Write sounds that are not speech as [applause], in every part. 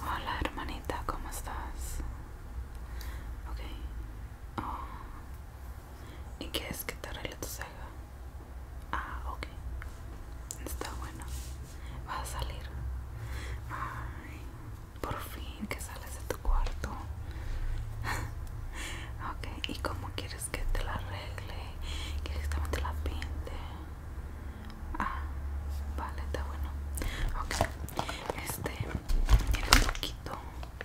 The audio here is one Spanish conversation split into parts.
Hola hermanita, ¿cómo estás? Ok. Oh. ¿Y qué es que te arregle tu Ah, ok. Está bueno. vas a salir. por fin que sales de tu cuarto. [laughs] ok, ¿y cómo quieres? que te la arregle? que justamente la pinte? Ah, vale, está bueno. Ok, este, tiene un poquito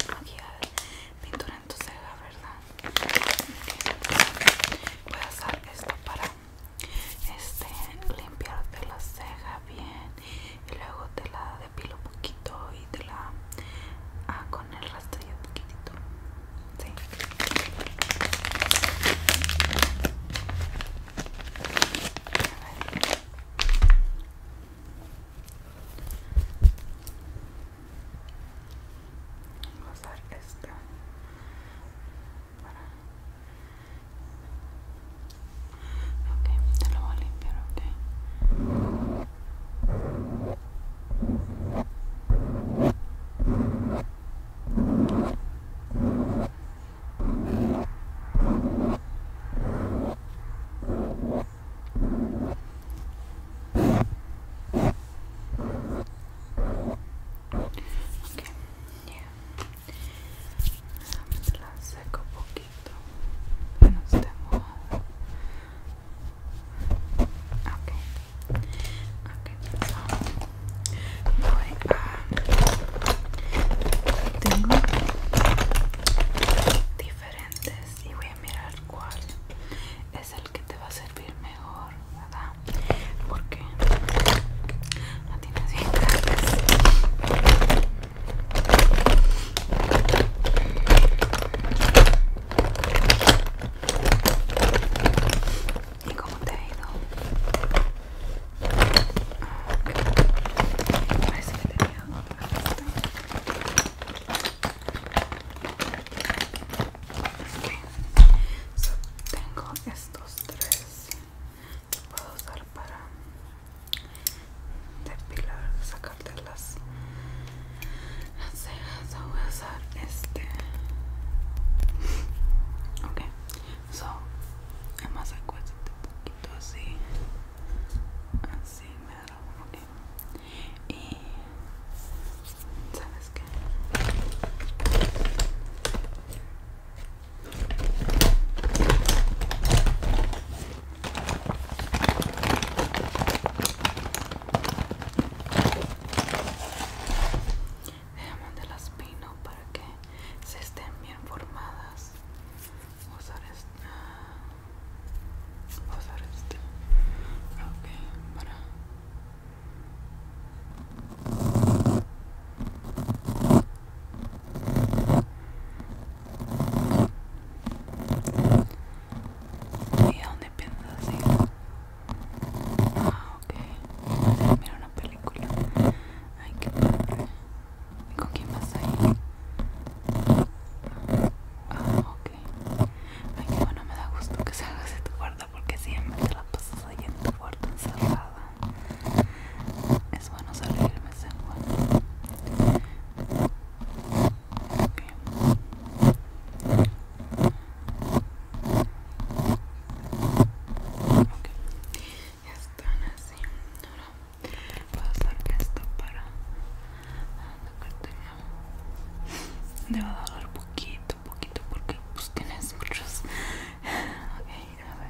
de aquí pintura en tu ceja, ¿verdad? Voy a usar esto para este, limpiarte la ceja bien y luego te la depilo un poquito y te la ah, con el rastrillo poquitito sí. vamos a usar esta Okay. te lo voy a limpiar, ok. Okay. Yeah. La seco poquito. Que no mojada. Ok, Okay. voy a tengo diferentes y voy a mirar cuál es el que te va a servir mejor, ¿verdad? Porque no tienes bien ¿Y cómo te ha ido? a ver que tenía otra Tengo estos tres que puedo usar para depilar, sacar las, cejas so voy a usar este Okay. so además acuéstate un poquito así así me da Okay. y sabes qué Dejamos de las pino para que se estén bien formadas. Vamos a usar este. Vamos a usar este. Ok, para. ¿Y a dónde piensas ir? Ah, ok. Mira una película. Ay, qué padre. ¿Y con quién vas a ir? Ah, ok. Ay, qué bueno, me da gusto que salgas de tu cuarto porque siempre te la pasas ahí en tu cuarto encerrada. Es bueno salirme, ese bueno. Okay. Están así. Ahora voy a hacer esto para la Debo doler poquito, poquito, porque pues tienes muchos. Ok, a ver.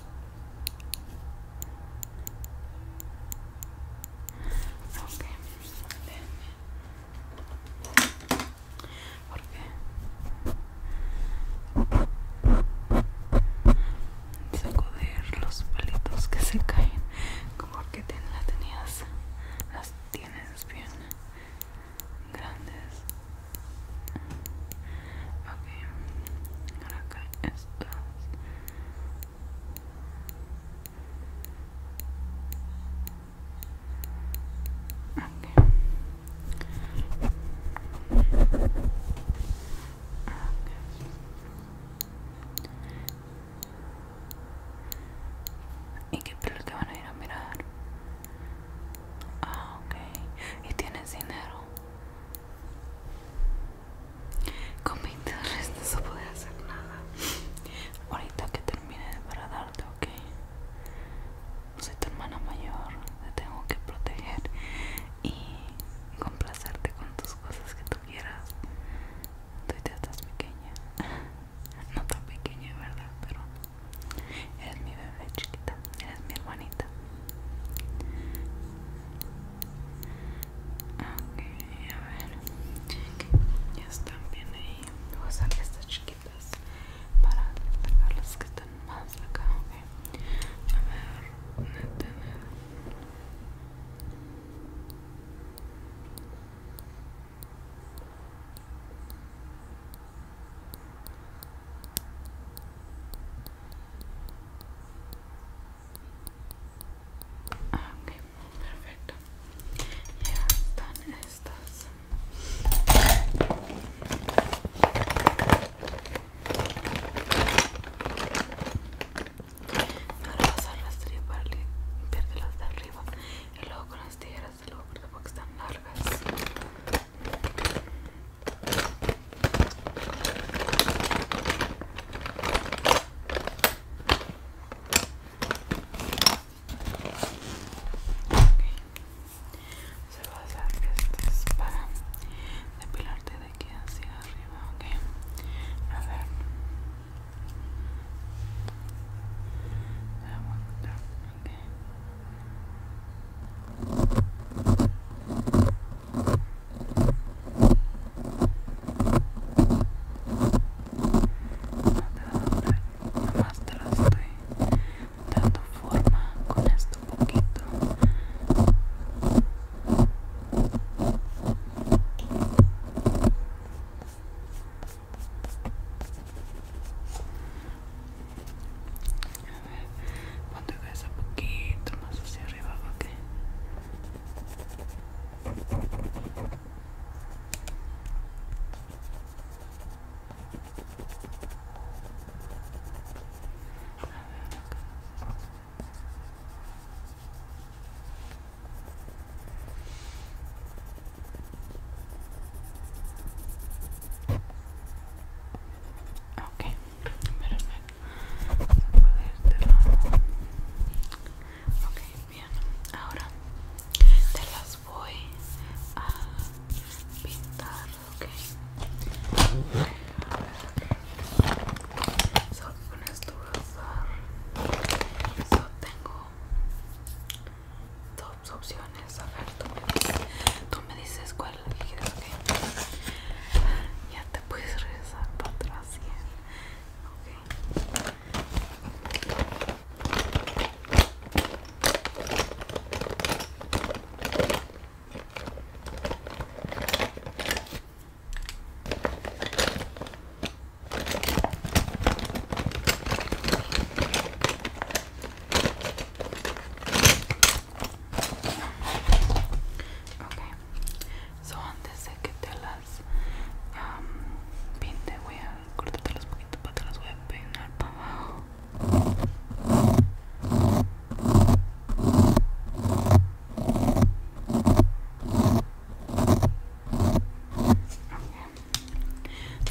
Ok, Porque los palitos que se caen, como que ten, la tenías, las tienes bien grandes ¿Y qué pelo te van a ir a mirar? Ah, ok. ¿Y tienes dinero? Con 20 dólares no se puede hacer nada. Ahorita que termine para darte, ok. Soy tu hermana mayor, te tengo que proteger y complacerte con tus cosas que tú quieras. Tú ya estás pequeña. [laughs] No tan pequeña, ¿verdad? Pero Eres mi bebé chiquita, eres mi hermanita. Ok, a ver. Ya están bien ahí. Voy a sacar estas chiquitas para sacar las que están más acá. Okay. A ver, Ok, perfecto. Ya están estas. Ahora las a rastrillo para de las de arriba y luego con las tijeras de luego porque están largas. Se va a hacer que este para depilarte de aquí hacia arriba, ok. A ver, no más te lo estoy dando forma con esto un poquito. A ver, un poquito más hacia arriba, Ok, bien. Ahora te las voy a pintar, okay. Solo con esto a usar. Solo tengo op opciones. A ver, tú me dices, tú me dices cuál quieres que. Okay. Ya te puedes regresar para atrás. Okay. Okay, so antes de que te las um, pinte, voy a los poquito para te las voy a peinar para abajo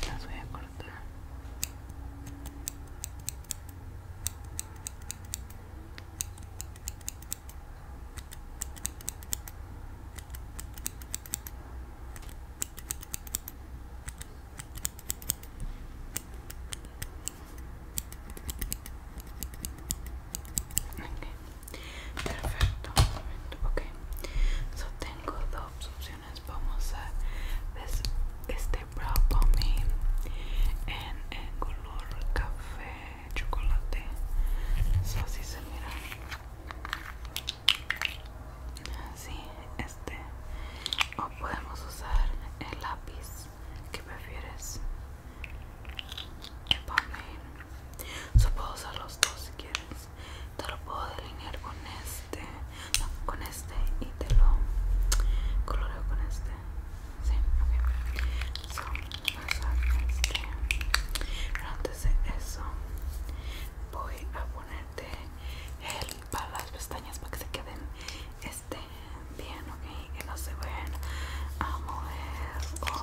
las voy a cortar Okay. Perfecto, perfecto, ok. Sosten tengo dos opciones vamos a ver: este brow pomade en, en color café chocolate así se mira así este o podemos usar el lápiz que prefieres el pomade sea puedo usar los dos si quieres te lo puedo delinear con este con este y te lo coloreo con este sí, ok so, este. pero antes de eso voy a ponerte Gel para las pestañas para que se queden este bien ok que no se vayan a mover o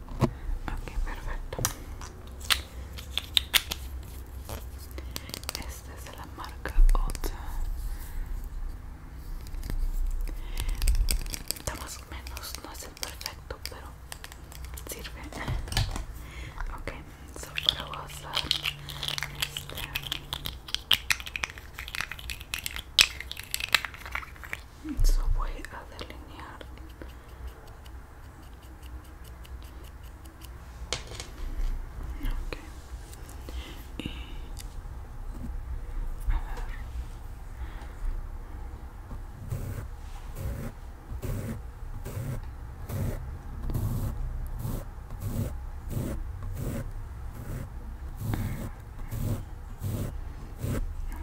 Ok, perfecto. Esta es la marca otra Está más o menos, no es el perfecto, pero sirve. Ok, so usar este. Eso voy a delinear okay. y a ver Voy a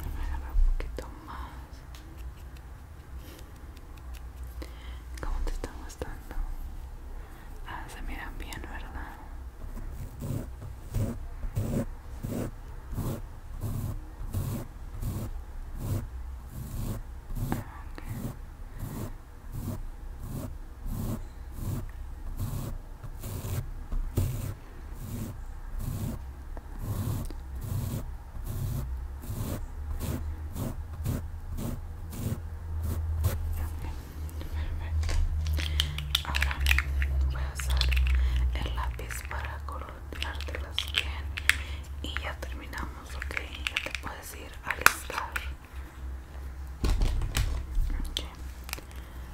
agarrar un poquito ¿Cómo te está gustando? Ah, se miran bien, ¿verdad? Ah, Perfecto. Ahora voy a usar el lápiz para las piel y ya terminamos, ok. Ya te puedes ir a listar.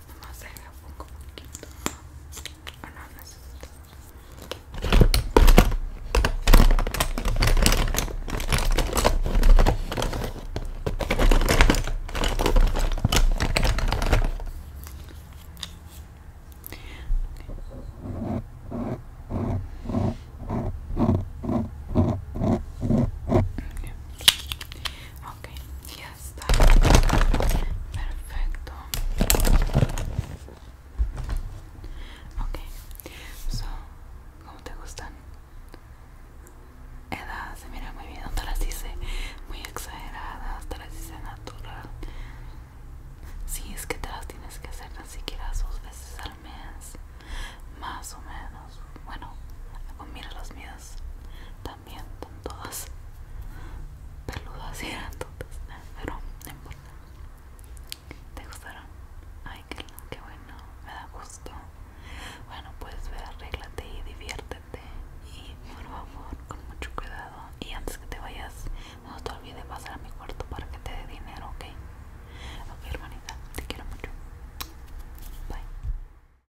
Ah, no sé, le pongo un poquito. O no necesito. Ok, ya está. Perfecto. Ok, so, ¿cómo te gustan? Edad, se mira muy bien, no las dice muy exageradas, te las dice natural. Si sí, es que te las tienes que hacer ni siquiera dos veces al mes, más o menos. Bueno, mira los míos también todas peludas y grandotas pero no importa te gustaron ay que bueno me da gusto bueno pues ve arréglate y diviértete y por favor con mucho cuidado y antes que te vayas no te olvides pasar a mi cuarto para que te dé dinero ok ok hermanita te quiero mucho bye